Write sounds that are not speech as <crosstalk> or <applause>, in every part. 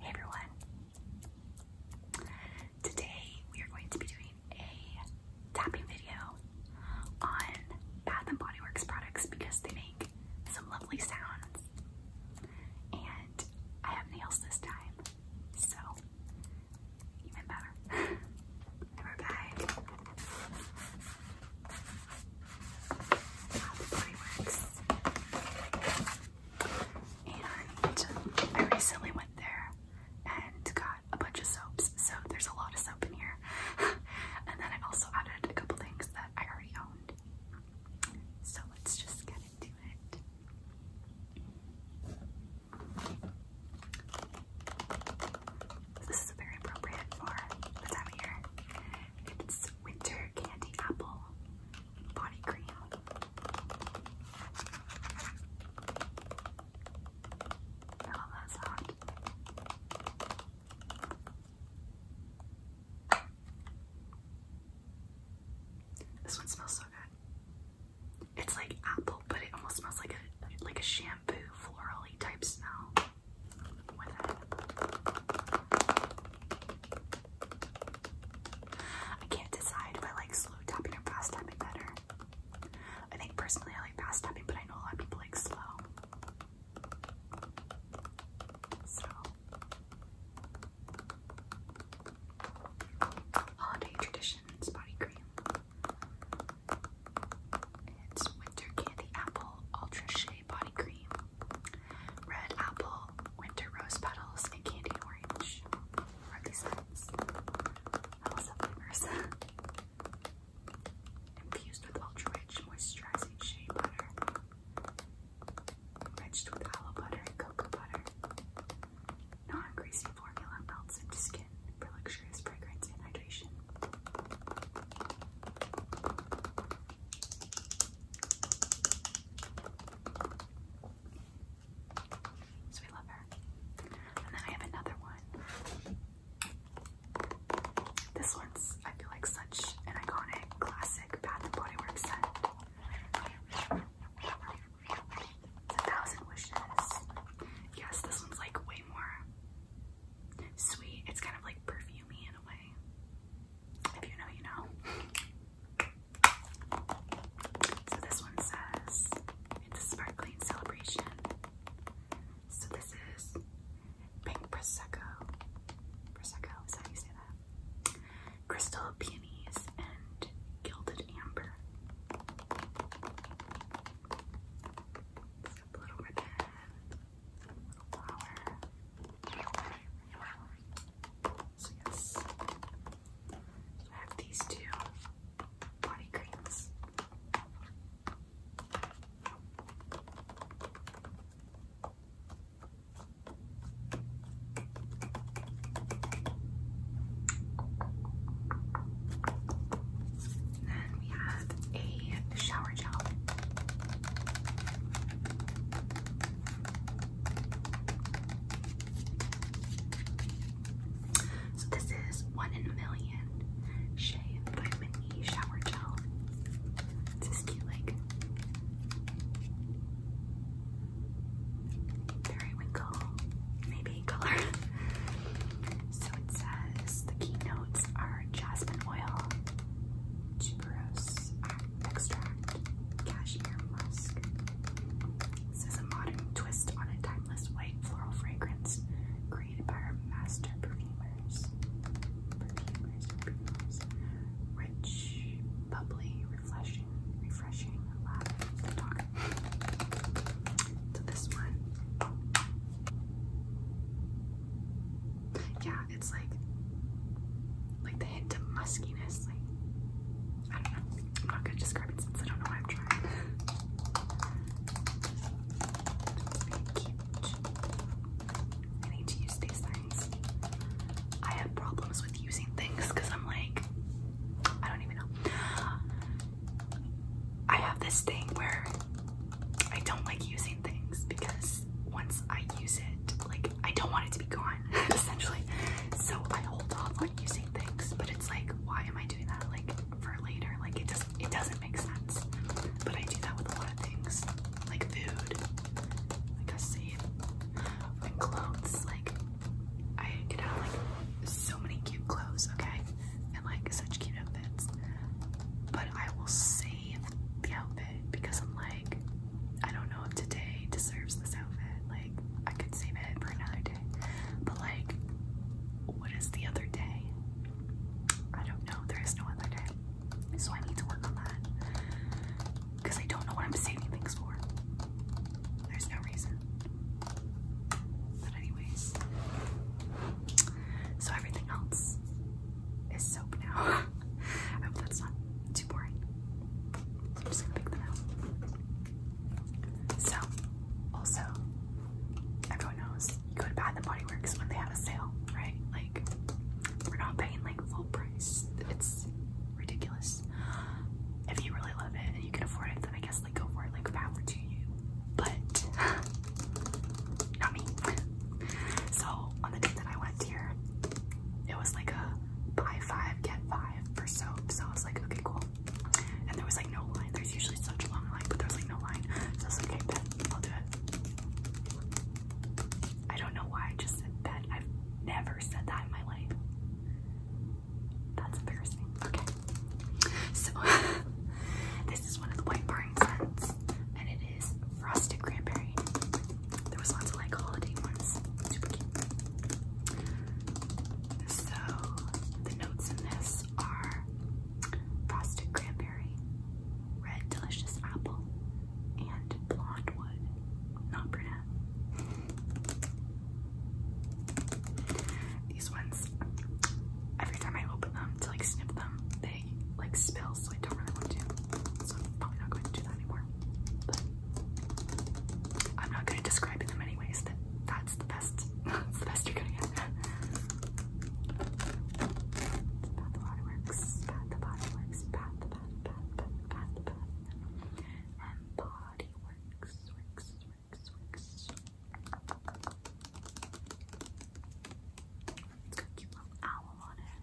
Hey everyone! Today we are going to be doing a tapping video on Bath and Body Works products because they make some lovely sounds. And I have nails this time, so even better. And <laughs> we and I recently went there and got a bunch of soaps, so there's a lot of soap in here. <laughs> and then I also added a couple things that I already owned. So let's just get into it. This is very appropriate for the time of year. It's winter candy apple body cream. I love that This one smells so good. It's like apple, but it almost smells like a like a shampoo florally type smell. I can't decide if I like slow tapping or fast tapping better. I think personally I like fast tapping, but I know a lot of people like slow. holiday traditions body cream. It's winter candy apple ultra shea body cream red apple, winter rose petals, and candy orange. Are these scents? I also <laughs> Infused with ultra rich moisturizing shea butter, enriched with aloe butter cocoa butter. Non greasy formula melts into skin for luxurious fragrance and hydration. So we love her. And then I have another one. This one's, I feel like, such an iconic, classic Bath and Body Works scent. a thousand wishes. Yes, this one's like way more sweet. It's kind of like perfumey in a way. If you know, you know. So this one says it's a sparkling celebration. So this is pink prosecco. Prosecco is how you say that. Crystal peonies and gilded amber. It's a little ribbon flower. So I have these two body creams then we have a shower gel. So this is one in a million Shea Vitamin E shower gel. It's this cute like periwinkle maybe color. <laughs> so it says the keynotes are jasmine oil, tuberose extract, cashmere musk. This is a modern twist on a timeless white floral fragrance created by our master perfumers. Rich, bubbly, refreshing, refreshing, loud, talk. So this one yeah, it's like like the hint of muskiness. Like I don't know. I'm not gonna describe it since I don't know why I'm trying. I need to use these things. I have problems with using things because I'm like, I don't even know. I have this thing where I don't like using things because once I use it, like I don't want it to be gone, <laughs> essentially. So I hold off on using things, but it's like, why am I doing that? Like for later, like it just it doesn't make sense. But I do that with a lot of things, like food, like I save, and clothes. Like I get out like so many cute clothes, okay, and like such cute outfits. But I will save the outfit because I'm like, I don't know if today deserves this outfit. Like, I could save it for another day. But like, what is the other day? I don't know. There is no other day. So I need to work on that. Because I don't know what I'm saving things for. There's no reason. But anyways, so everything else is soap now. <laughs> I hope that's not too boring. I'm just gonna pick them out. So, also, everyone knows you go to Bath and Body Works when they have a sale, right? Like, we're not paying like full price. It's ridiculous. If you really love it and you can afford it, then I guess like go for it. Like power to you but <laughs> not me. So on the date that I went here, it was like a buy five, get five for soap. So I was like, okay, cool. And there was like no line. There's usually such a long line, but there's like no line. So I was like, okay, bet, I'll do it. I don't know why I just said bet. I've never said that in my life. That's embarrassing. Okay. So <laughs> this is one of the white barring scents, and it is frosted cranberry. There was lots of like holiday ones. Super cute. So the notes in this are frosted cranberry, red delicious apple, and blonde wood. Not brunette. These ones every time I open them to like snip them, they like spill, so I don't really want to. So I'm probably not going to do that anymore. But I'm not good at describing them anyways. That that's the best. <laughs> the best you're gonna get. <laughs> pat the body works. Pat the body works. Pat the pat pat pat pat the pat. And body works. Works. Works cute little owl on it.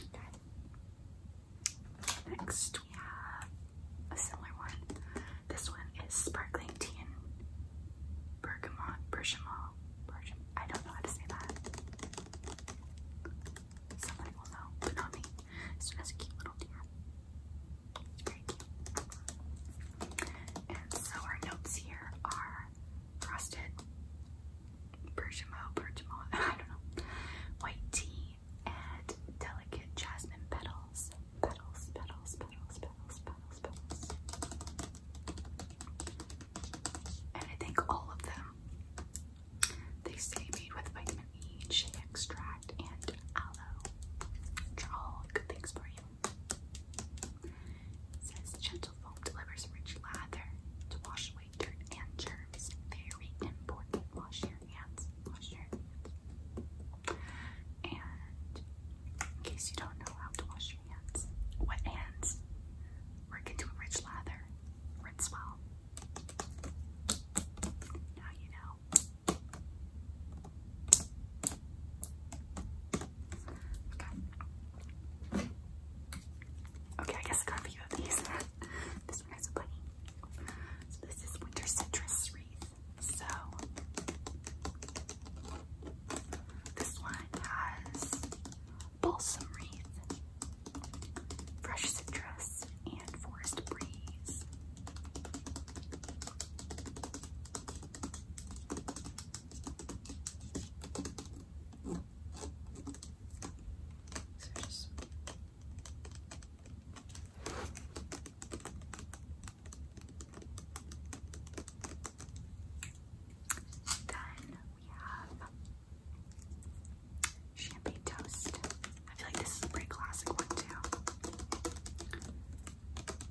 Okay. Next we have a similar one. This one is sparkling tea and bergamot, bergamot, bergamot. I don't know how to say that. Somebody will know, but not me. It's just a cute little deer. And so our notes here are frosted bergamot, bergamot, <laughs> I don't know, white tea, and delicate jasmine petals, petals, petals, petals, petals, petals, petals. And I think all of them they say made with vitamin E, shea extract, and aloe, are all good things for you. says gentle foam delivers rich lather to wash away dirt and germs. Very important. Wash your hands. Wash your hands. And in case you don't know how to wash your hands, wet hands, work into a rich lather. Rinse well. Now you know. Okay. Okay, I guess I got a few of these. <laughs> this one has a bunny. So this is winter citrus wreath. So this one has balsam wreath fresh citrus, and forest breeze. So just then we have Champagne toast. I feel like this is a pretty classic one too.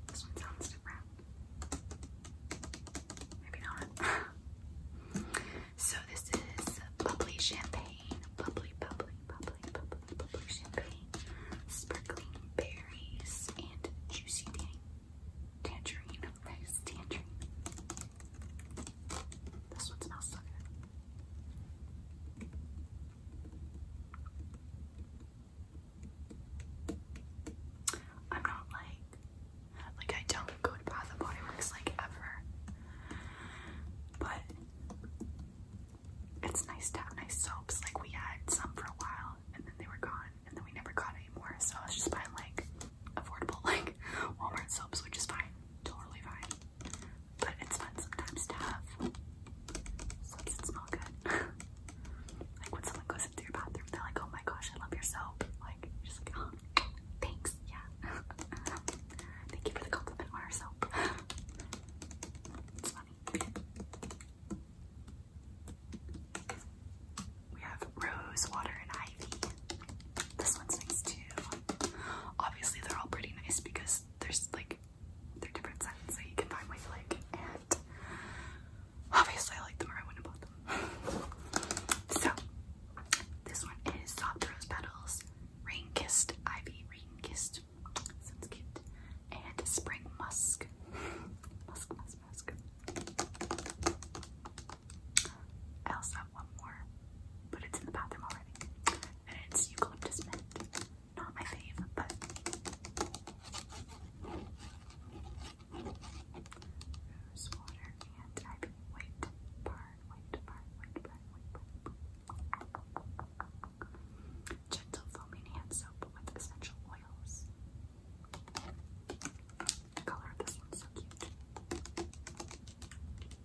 This one sounds different. Maybe not. <laughs> so this is bubbly champagne. Bubbly, bubbly, bubbly, bubbly, bubbly champagne. Sparkling berries and juicy tangerine. Tangerine. Nice tangerine. This one smells good. I'm not like, like I don't go to Bath and Body Works like ever, but it's nice to have nice soaps. Like we had some for a while and then they were gone and then we never got any more. So I was just buying like affordable <laughs> like Walmart soaps, which is fine, totally fine. But it's fun sometimes to have soaps that smell good. <laughs> like when someone goes into your bathroom, they're like, oh my gosh, I love your soap. Like, you're just like, oh, thanks, yeah. <laughs> Thank you for the compliment on our soap. it's funny. We have rose water and ivy. This one's nice too. Obviously, they're all pretty nice because there's like they're different scents so you can find what you like, and obviously, I like them or I wouldn't bought them. So, this one is Soft Rose Petals, Rain Kissed Ivy, Rain Kissed, sounds cute, and Spring Musk. Musk, musk, musk. I also have one more, but it's in the bathroom already. And it's eucalyptus mint. Not my fave, but water and ivy white barn, white barn, white barn, white barn. Gentle foaming hand soap with essential oils. The color of this one's so cute.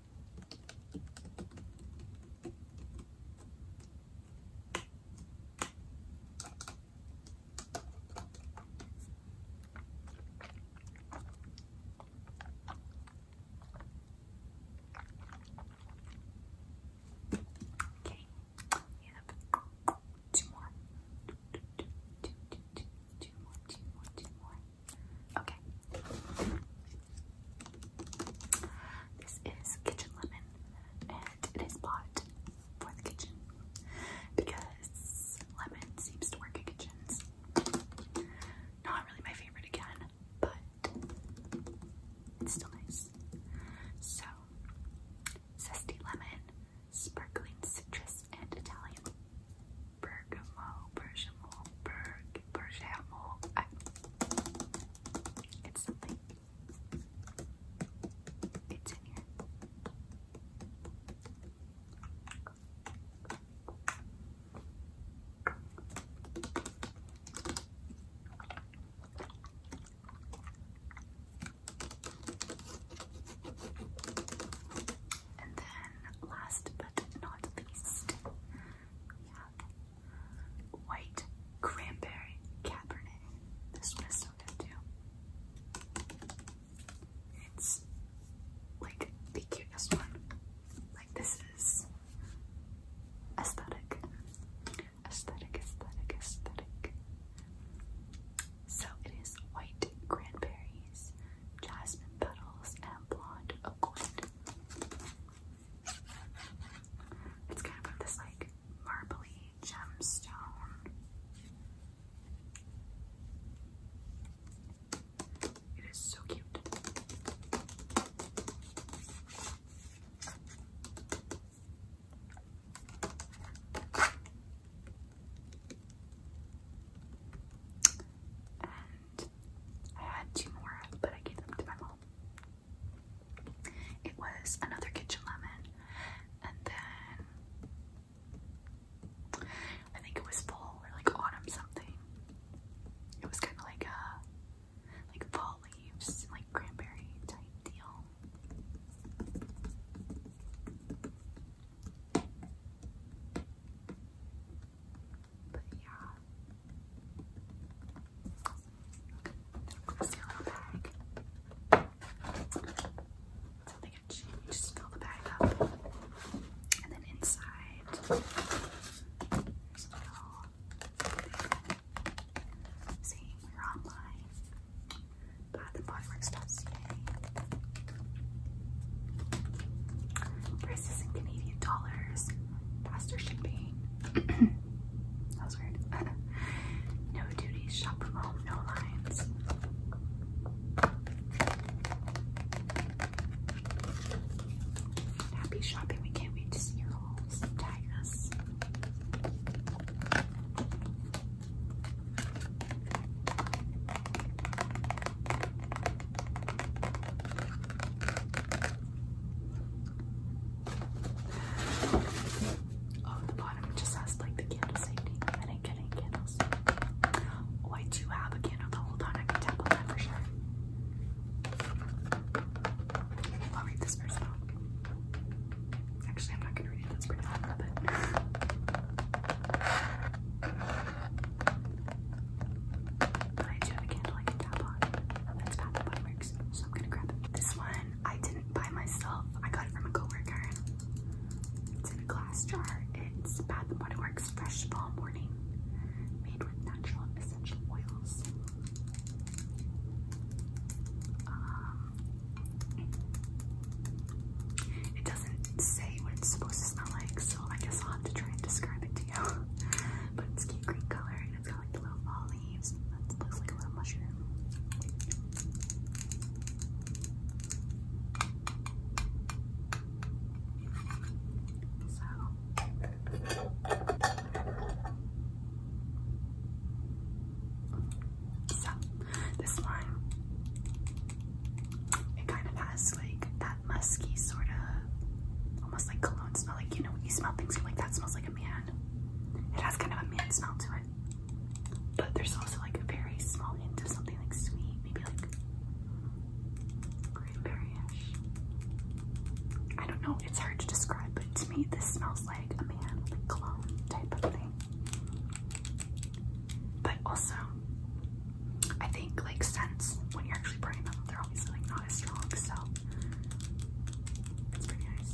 Okay, we have two more. Two, two, two, two, two, two more, two more, two more. Okay. This is kitchen lemon, and it is bought for the kitchen because lemon seems to work in kitchens. Not really my favorite again, but it's still nice. So, zesty lemon, sparkling citrus, and Italian Bergamo, Bergamo, Berg, Bergamo. I, it's something. It's in here. And then last not least, white cranberry cabernet. This one is so good too. It's like the cutest one. Like this is aesthetic, aesthetic, aesthetic, aesthetic. So it is white cranberries, jasmine petals, and blonde oakland. It's kind of got this like marbly gemstone. It is so cute and I had two more, but I gave them to my mom. It was another kitchen lemon, and then I think it was fall or like autumn something. It was kind of like a like fall leaves, like cranberry type deal. But yeah. Little glossy little bag. So they get you just fill the bag up. And then inside there's a little we're online. But the bodywork stuff, Prices in Canadian dollars. Faster shipping. <coughs> that was weird. <laughs> no duties. Shop from home. No lines. Happy shopping. We can't wait to see your hauls. Tag us. Oh, the bottom just has like the candle safety. I didn't get any candles. Oh, I do have a candle. Hold on, I can tap on that for sure. I'll read this first Actually, I'm not gonna read it. That's pretty long, but. But I do have a candle I can tap on. That's how the works. So I'm gonna grab This one I didn't buy myself. I got it from a coworker. It's in a glass jar. It's Bath and Body Works Fresh Fall Morning, made with natural essential oils. Um, it doesn't say what it's supposed to smell like, so I guess I'll have to try and describe it to you. <laughs> but it's cute green color and it's got like little fall leaves. looks like a little mushroom. so this line, it kind of has like that musky sort of, almost like cologne smell. Like you know when you smell things, like that smells like a man. It has kind of a man smell to it. But there's also like a very small hint of something like sweet, maybe like cranberry I don't know, it's hard to describe, but to me this smells like a man cologne type of thing but also I think like scents when you're actually burning them, they're always like not as strong, so it's pretty nice.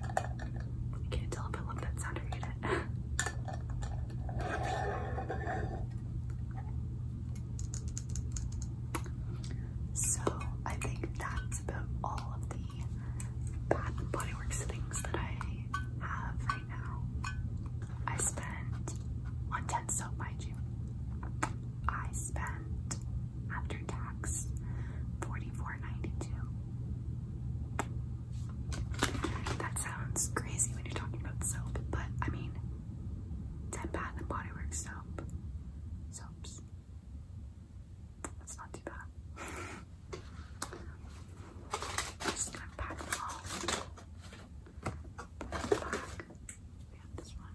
I can't tell if I love that sound or hate it. <laughs> so I think that's about all of the Bath and Body Works things that I have right now. I spent on 10 so mind you. I spent after tax, forty-four ninety-two. That sounds crazy when you're talking about soap, but I mean, Ten Bath and Body Works soaps. That's not too bad. <laughs> just gonna pack them all. We have this one.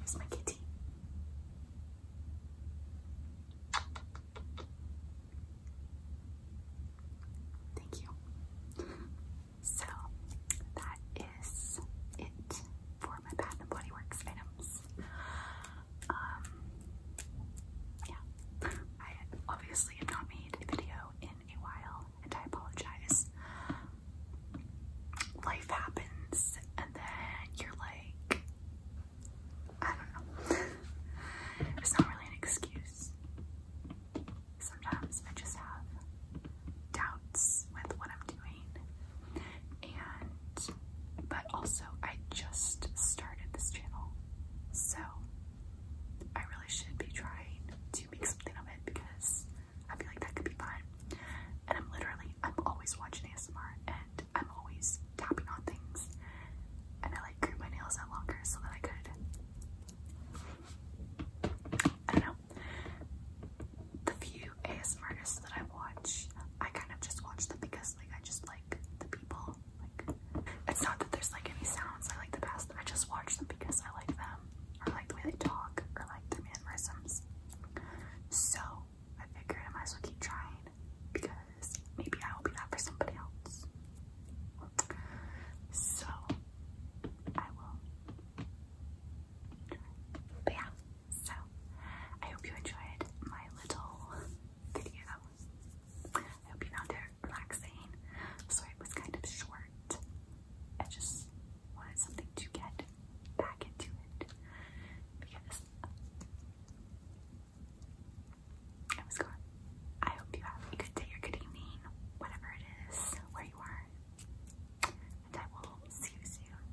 It's my kitty. Thank you. So that is it for my Bath and Body Works items. Um, yeah, I obviously have not made a video in a while, and I apologize life happens and then you're like, I don't know. it's not really an excuse. Sometimes I just have doubts with what I'm doing. And, but also I just started this channel. So I really should be trying to make something of it because I feel like that could be fun. And I'm literally, I'm always watching ASMR and I'm always tapping on things. And I like grew my nails out longer so that I could, I don't know. The few ASMRs that I watch, I kind of just watch them because like I just like the people. Like it's not that there's like any sounds I like the best. I just watch them because I like them or like the way they talk or like their mannerisms. So I figured I might as well keep trying because maybe I will be that for somebody else. So I will try. But yeah, so I hope you enjoyed my little video. I hope you found it relaxing. Sorry it was kind of short. I just wanted something to get back into it because I was gone. I hope you have a good day or good evening, whatever it is, where you are, and I will see you soon.